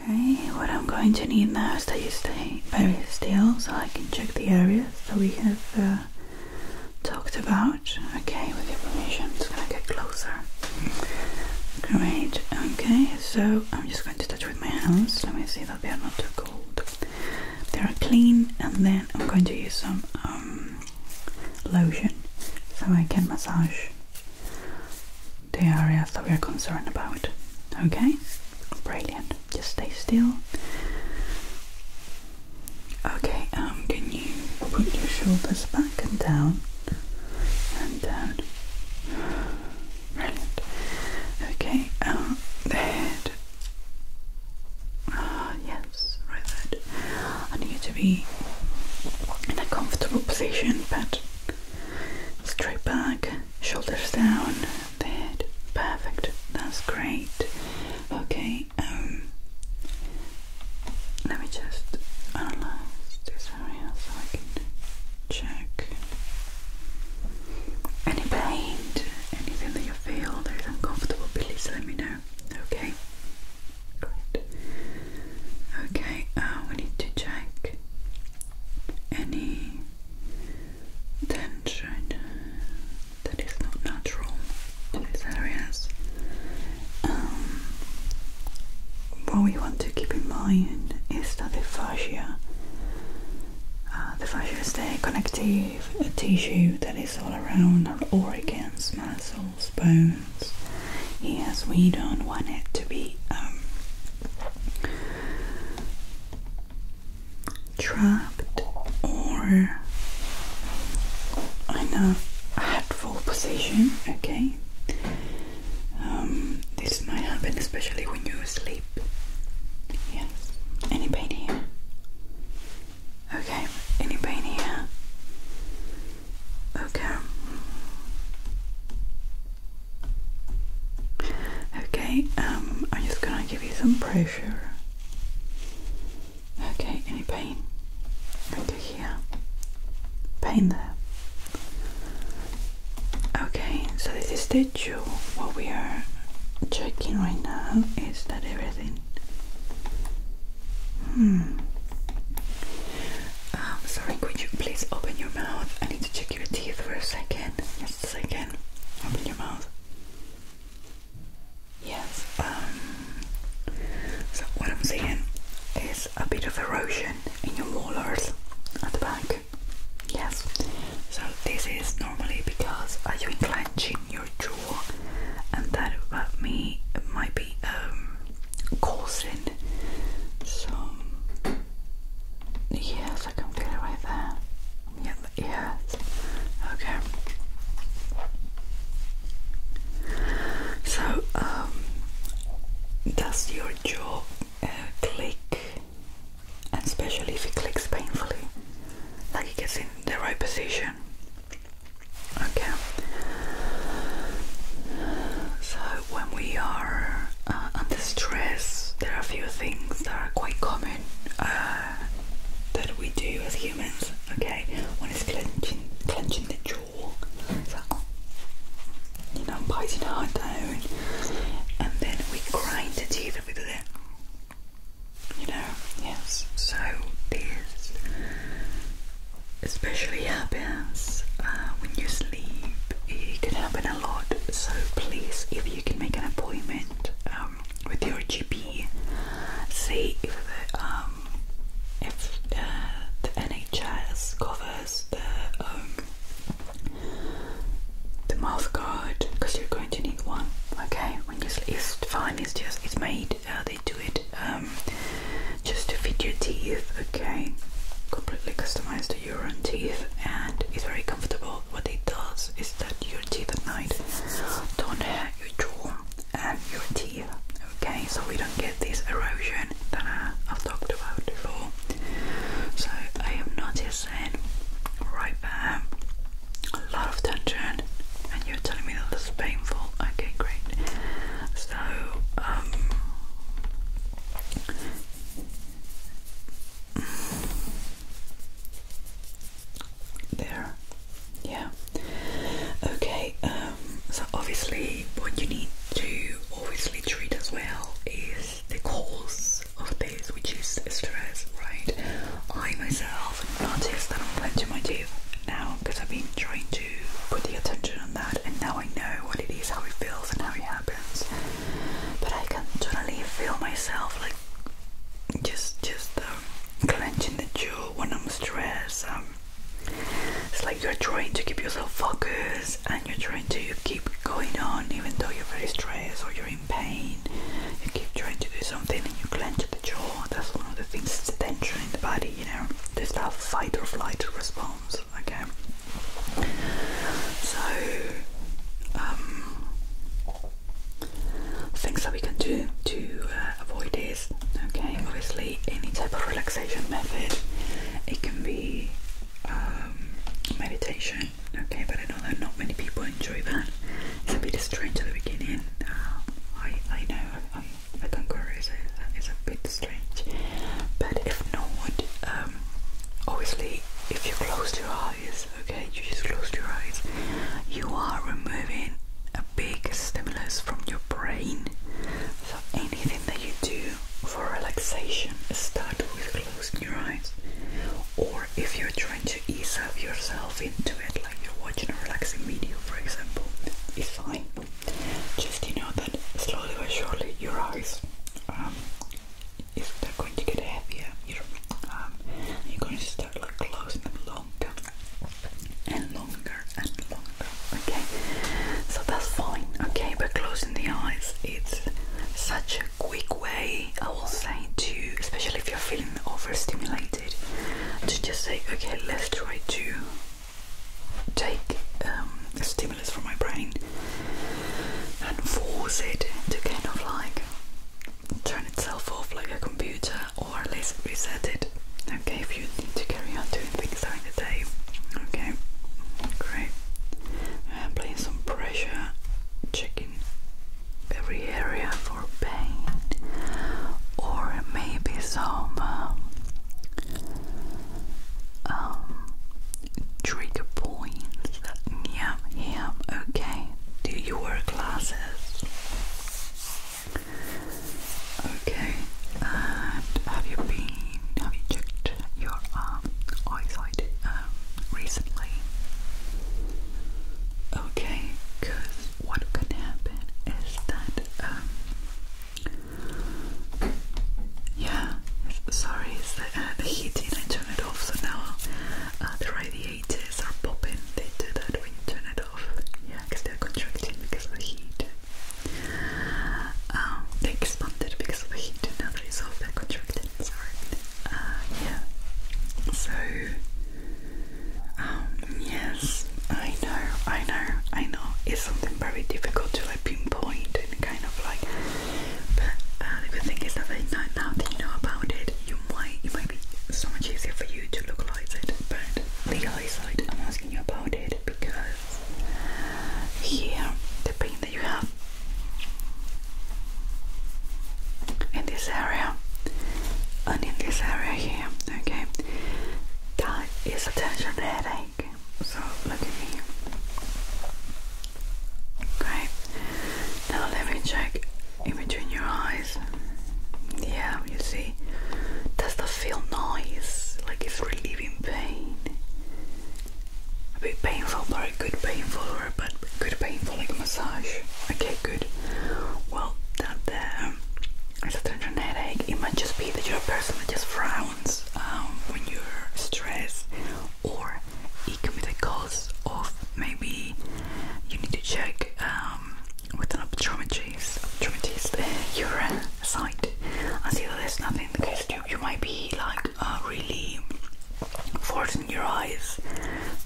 Okay, what I'm going to need now is that you stay very still so I can check the areas that we have uh, talked about. Okay, with your permission, i just gonna get closer. Great, okay, so I'm just going to touch with my hands. Let me see that they are not too cold. They are clean, and then I'm going to use some um, um, lotion so I can massage the areas that we are concerned about. Okay? Brilliant. Just stay still. Okay, um, can you put your shoulders back and down and down? Brilliant. Okay, um, the head. Ah, uh, yes right? That I need you to be in a comfortable position, but straight back, shoulders down, the head. Perfect. That's great. Okay. Um, let me just analyze this area so I can check any pain, anything that you feel that is uncomfortable. Please let me know. Okay. Good. Okay, uh, we need to check any tension that is not natural in these areas. Um, what we want to keep in mind is that the fascia, uh, the fascia is the connective tissue that all around our organs, muscles, bones. Yes, we don't want it to be um, trapped or in a hatful position, okay? Um, this might happen especially when you sleep. Yes. Any pain here? Okay, any pain here? Okay. Okay, um, I'm just gonna give you some pressure. Okay, any pain? Okay, here. Pain there. Okay, so this is the jaw. What we are checking right now is that everything Hmm. Um, sorry, could you please open your mouth? I need to check your teeth for a second. Just a second. Open your mouth. Yes. Um, so what I'm seeing is a bit of erosion in your molars at the back. Yes. So this is normally because are you clenching your and that about me might be um, causing some yes I can feel it right there yeah yes okay so um, does your jaw uh, click and especially if it clicks painfully like it gets in the right position. Okay. So when we are uh, under stress, there are a few things that are quite common uh, that we do as humans. Okay, one is clenching, clenching the jaw, you know, biting hard down, and then we grind the teeth with it you know, yes. So this especially happens uh, when you sleep. It can happen a lot. So please, if you can make an appointment um, with your GP, see if um, uh, the NHS covers the um, mouth guard because you're going need one. Okay, when you sleep, it's fine. It's just it's made. Uh, they do it um, just to fit your teeth. Okay, completely customize to your own teeth, and it's very comfortable. What it does is that your teeth at night don't hurt your jaw and your teeth. Okay, so we don't get this erosion that uh, I, have talked about before. So I am not just saying, right there a lot of tension and you're telling me that this is painful. Okay, great. So, um there. Yeah. Okay, um so obviously what you need to obviously treat as well is the cause of this, which is stress, right? I myself noticed that I'm clenching my teeth now because I've been trying to put the attention on that, and now I know what it is, how it feels, and how it happens. But I can totally feel myself like just, just um, clenching the jaw when I'm stressed. Um, it's like you're trying to keep yourself focused and you're trying to keep going on even though you're very stressed or you're pain, you keep trying to do something and you clench the jaw. That's one of the things, it's a tension in the body, you know, there's that fight or flight response, okay? So, um, things that we can do to uh, avoid this, okay? Obviously, any type of relaxation method, it can be um, meditation Okay, but I know that not many people enjoy that. It's a bit strange at the beginning. Uh, I I know I, I concur. It's a, it's a bit strange, but if not, um, obviously, if you close your eyes, okay, you just close your eyes. You are removing a big stimulus from your brain. So anything that you do for relaxation, start with closing your eyes or if you're trying to ease up yourself into it, like you're watching a relaxing video, for example, it's fine. Just you know that slowly but surely your eyes, um, are going to get heavier, um, you're, going to start like closing them longer and longer and longer. Okay, so that's fine. Okay, but closing the eyes, it's such a quick way I will say to, especially if you're feeling overstimulated, to just say, okay, let's try to take a um, stimulus from my brain and force it to kind of like turn itself off like a computer or at least reset it. Okay, if you need to carry on doing things during the day. Okay, great. I'm applying some pressure, checking every area for pain, or maybe some um, um, trigger points. Yeah, yeah, okay. Do you wear glasses? Okay, and have you been, improved your um, eyesight um, recently? Okay, because what can happen is that, um, yeah, sorry, it's the, uh, heat the I turned it off, so now uh, the radiators are popping, they do that when you turn it off, yeah, because they're contracting because of the heat. Um, they expanded because of the heat now that is off, they're sorry. Uh, yeah. So, um, yes, I know, I know, I know. It's something very difficult to pinpoint and kind of like. But uh, the good thing is that now, that you know about it, you might, it might be so much easier for you to localize it. But the eyesight I'm asking you about it because here the pain you have in this area and in this area here, okay? That is a tension headache. So look at me. Great. Now let me check in between your eyes. Yeah, you see. Does that feel nice? Like it's relieving pain a bit painful, but a good painful or a bad, good painful, like a massage. Okay, good. Well, that there is a tension headache. It might just be that you're a person that just frowns um, when you're stressed, or it can be the cause of maybe you need to check um, with an optometrist, optometrist uh, your uh, sight and see that there's nothing in the You, you might be like really forcing your eyes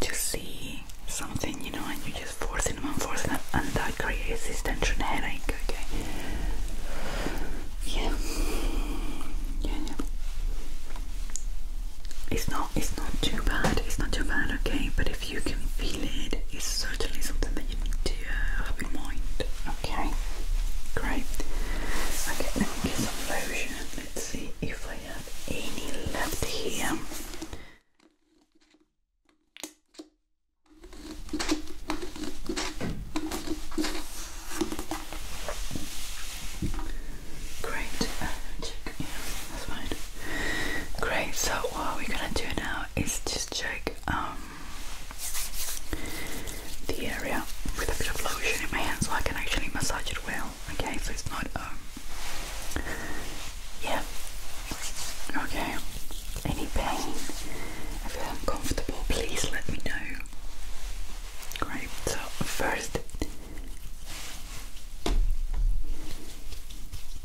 to see something, you know, and you're just forcing them and forcing them, and that creates this tension headache, okay? Yeah. yeah, yeah. It's not, it's not too bad, it's not too bad, okay? But if you can feel it, it's certainly something that you need to uh, have in mind, okay? Great. Okay, pockets lotion. Let's see if I have any left here. Great, uh, Yeah, that's fine. Great. So what we're gonna do now is just check um, the area with a bit of lotion in my hands, so I can actually massage it well. Okay, so it's not um yeah. Okay. Any pain? If you're uncomfortable, please let me know. Great. So first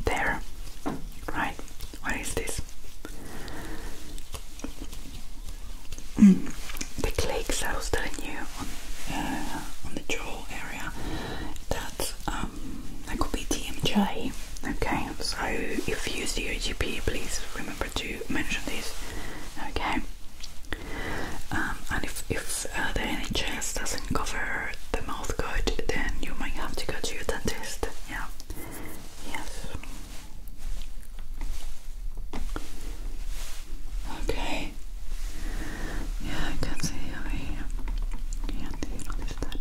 there. Right. What is this? Mm. The clicks I was telling you uh, on, the jaw area that um, could be TMJ. Okay, so if you use the GP, please remember to mention this. Okay, um, and if uh, the NHS doesn't cover the mouth good, then you might have to go to your dentist. Yeah. Yes. Okay. Yeah, I can see over here. Yeah, do you notice that?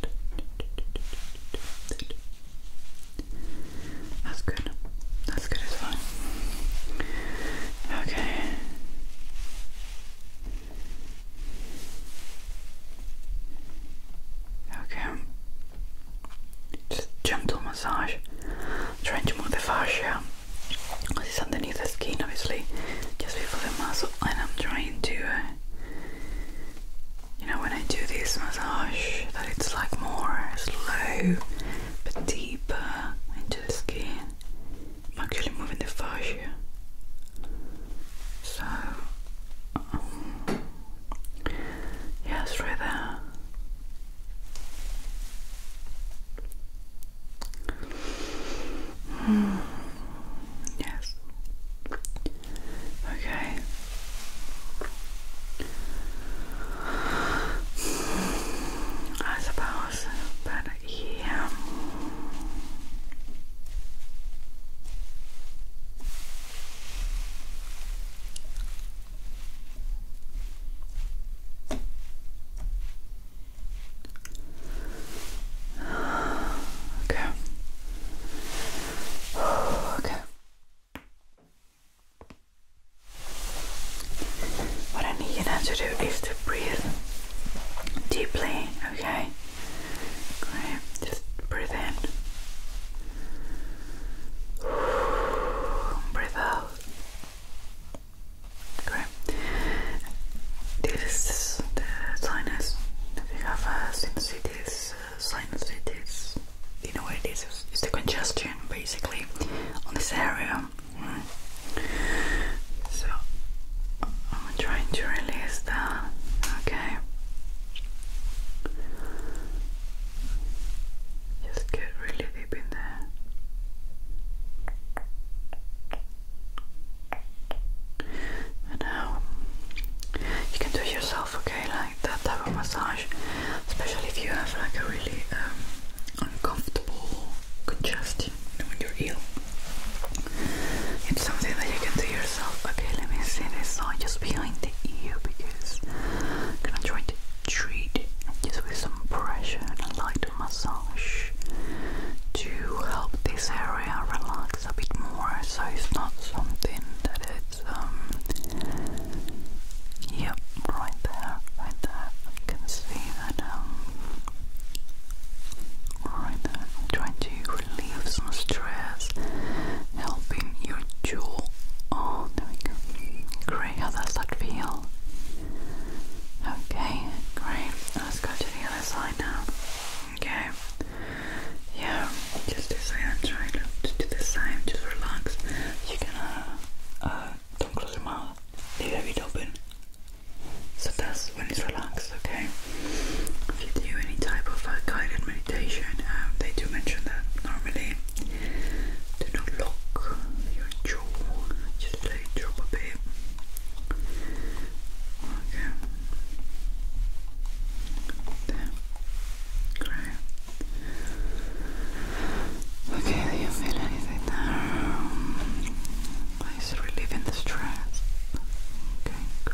That's good. That's good as well. Okay. Okay. Just gentle massage, trying to move the fascia. This is underneath the skin, obviously, just before the muscle. And I'm trying to, uh, you know, when I do this massage, that it's like more slow but deeper into the skin. actually moving the fascia. So, um, yes, right there. Mm. Yes. Okay. I suppose, but yeah. Okay. Okay. What I need you to do is to breathe deeply, okay? Okay, just breathe in. Breathe out. Okay. This is the sinus. If have uh, sinusitis, uh, sinusitis, you know what it is. It's, the congestion basically on this area. So I'm trying to release that. Okay. Just get really deep in there. And now um, you can do it yourself, okay? Like that type of massage, especially if you have like a really um, uncomfortable congestion in your heel. It's something that you can do yourself yourself. Okay, let me see this side just behind the ear because I'm gonna try to treat just with some pressure and a light massage to help this area relax a bit more so it's not something that it's um yep right there right there I can see that um right there I'm trying to relieve some stress, helping your jaw. Oh, there we go. Great, how does that feel? Okay, great. Let's go to the other side now. Okay. Yeah, just this way. I'm trying to do the same. Just relax. You can, uh, uh, don't close your mouth. Leave it open. So that's when it's relaxed, okay? If you do any type of uh, guided um, they do mention that normally do not lock your jaw, just let it drop a bit. Okay. There. Okay, do you feel anything there? Please relieving the stress. Okay,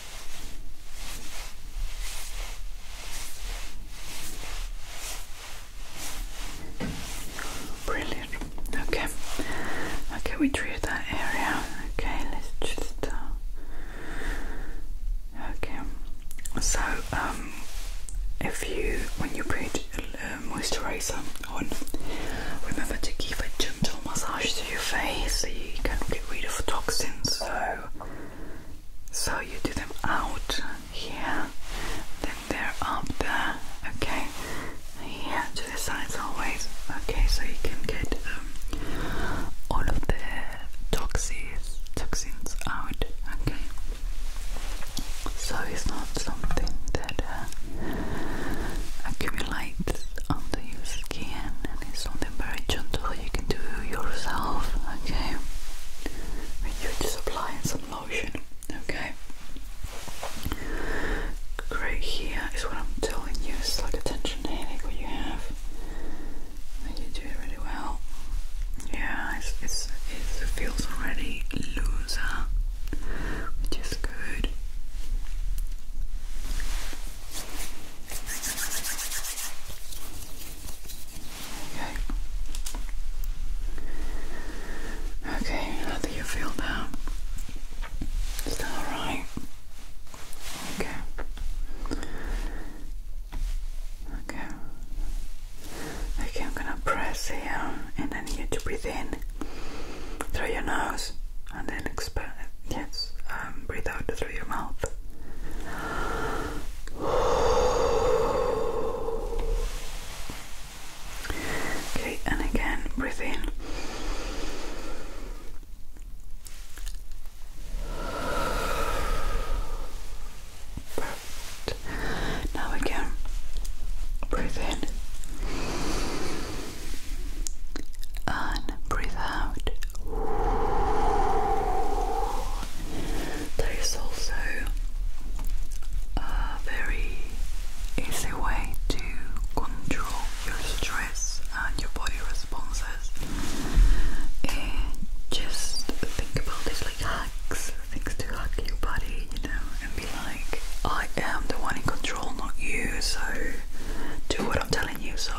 Brilliant. Okay. Okay, we drew that area. Okay, let's just. Uh, okay. So, um, if you, when you put uh, moisturizer on, remember to give a gentle massage your face so you can get rid of toxins so so you do them out here then they're up there okay here to the sides always okay so you can get um, all of the toxins toxins out okay so it's not something that uh, accumulates under your skin and it's something very gentle you can do yourself, okay? you just applying some lotion, okay? Right here is what I'm telling you, it's like a tension headache what you have. And you do it really well. Yeah, it's, it's, it's, it feels already looser, which is good. Okay. Okay, how do you feel now? Is alright? Okay. Okay. Okay, I'm gonna press here and then you to breathe in through your nose and then Yes, um, breathe out through your mouth. Okay, and again, breathe in. Perfect. Now again, breathe in and breathe out. There is also a very easy way to control your stress and your body responses. just think about this like hacks, things to hack your body, you know, and be like, I am the one in control, not you, so do what I'm telling so,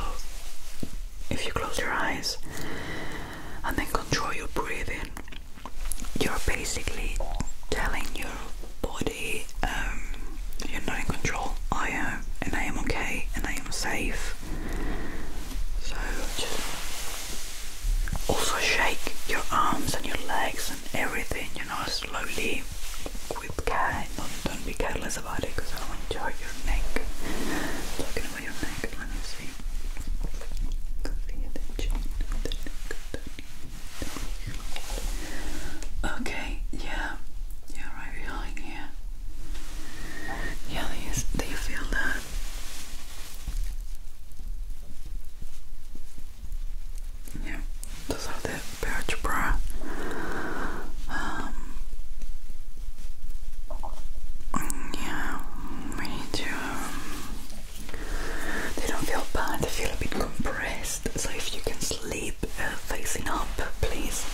if you close your eyes and then control your breathing, you're basically telling your body um, you're not in control. I am, and I am okay, and I am safe. So, just also shake your arms and your legs and everything, you know, slowly with Don't, be careless about it because I'll enjoy your neck. Talking about your neck, let me see. Okay, yeah, yeah, right behind here. Yeah, do you, feel that? Yeah, those are the Birchboro. Um, yeah, we need um, they don't feel bad, they feel a bit compressed. So if you can sleep uh, facing up, please.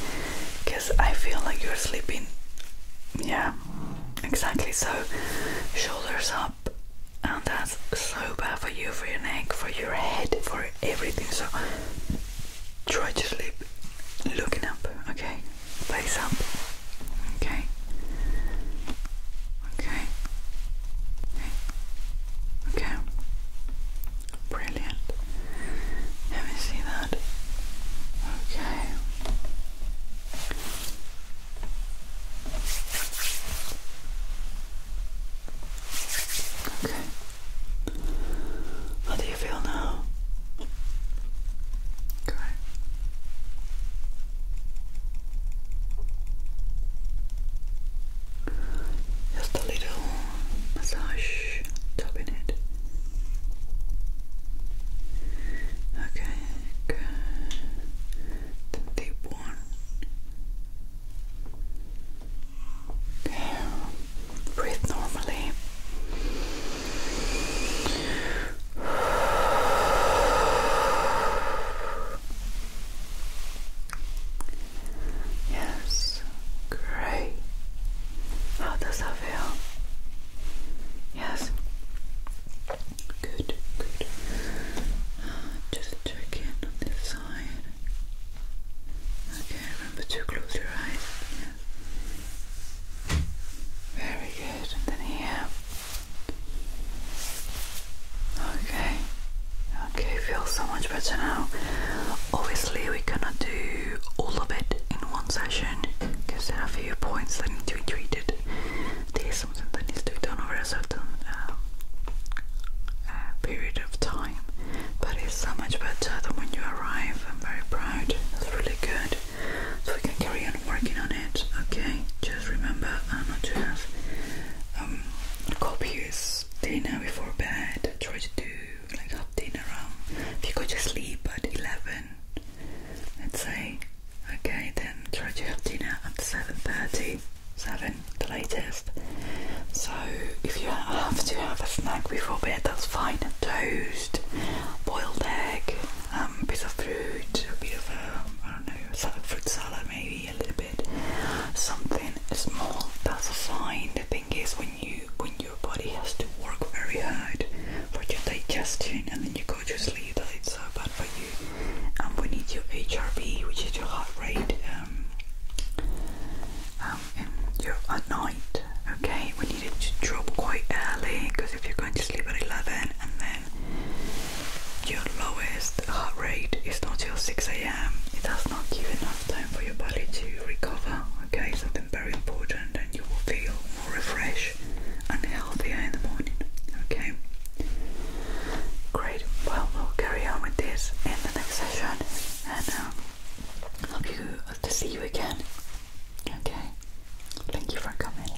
Because I feel like you're sleeping. Yeah, exactly. So shoulders up. And that's so bad for you, for your neck, for your head, for everything. So Try to sleep looking up, okay? Face up, okay? Okay. Okay. Okay. Brilliant. Let me see that. Okay. Okay. How do you feel now? Great. Just a little massage, tapping it. Okay, good. The deep one. Breathe normally. Yes, great. How does that feel? Yes, good, good. Uh, just check in on this side. Okay, remember to close your eyes. Yes. Very good. And then here. Okay. Okay, feels so much better now. Obviously, we cannot do all of it in one session because there are a few points that need to be treated. There's something that needs to be done over, so certain um, uh, uh, period of time, but it's so much better than when you arrive. I'm very proud, that's really good. So we can carry on working on it, okay? Just remember not to have um, copious dinner before bed. Try to do like half dinner um, If you go to sleep at 11, let's say, okay, then try to have dinner at 7.30 seven, the latest. So if you have to have a snack before bed, that's fine. Toast, boiled egg, a um, bit of fruit, a bit of a, um, I don't know, salad, fruit salad maybe a little bit, something small. That's fine. The thing is when you when your body has to work very hard for your digestion and then you go to sleep, that it's so bad for you and we need your HRV, which is your heart rate, and um, um, um, your at night. Okay, we need it to drop quite early because if you're going to sleep at 11 and then your lowest heart rate is not till 6 a.m., it does not give enough time for your body to recover. Okay, something very important, and you will feel more refreshed and healthier in the morning. Okay, great. Well, we'll carry on with this in the next session, and um, hope you to see you again. Okay. Thank you for coming.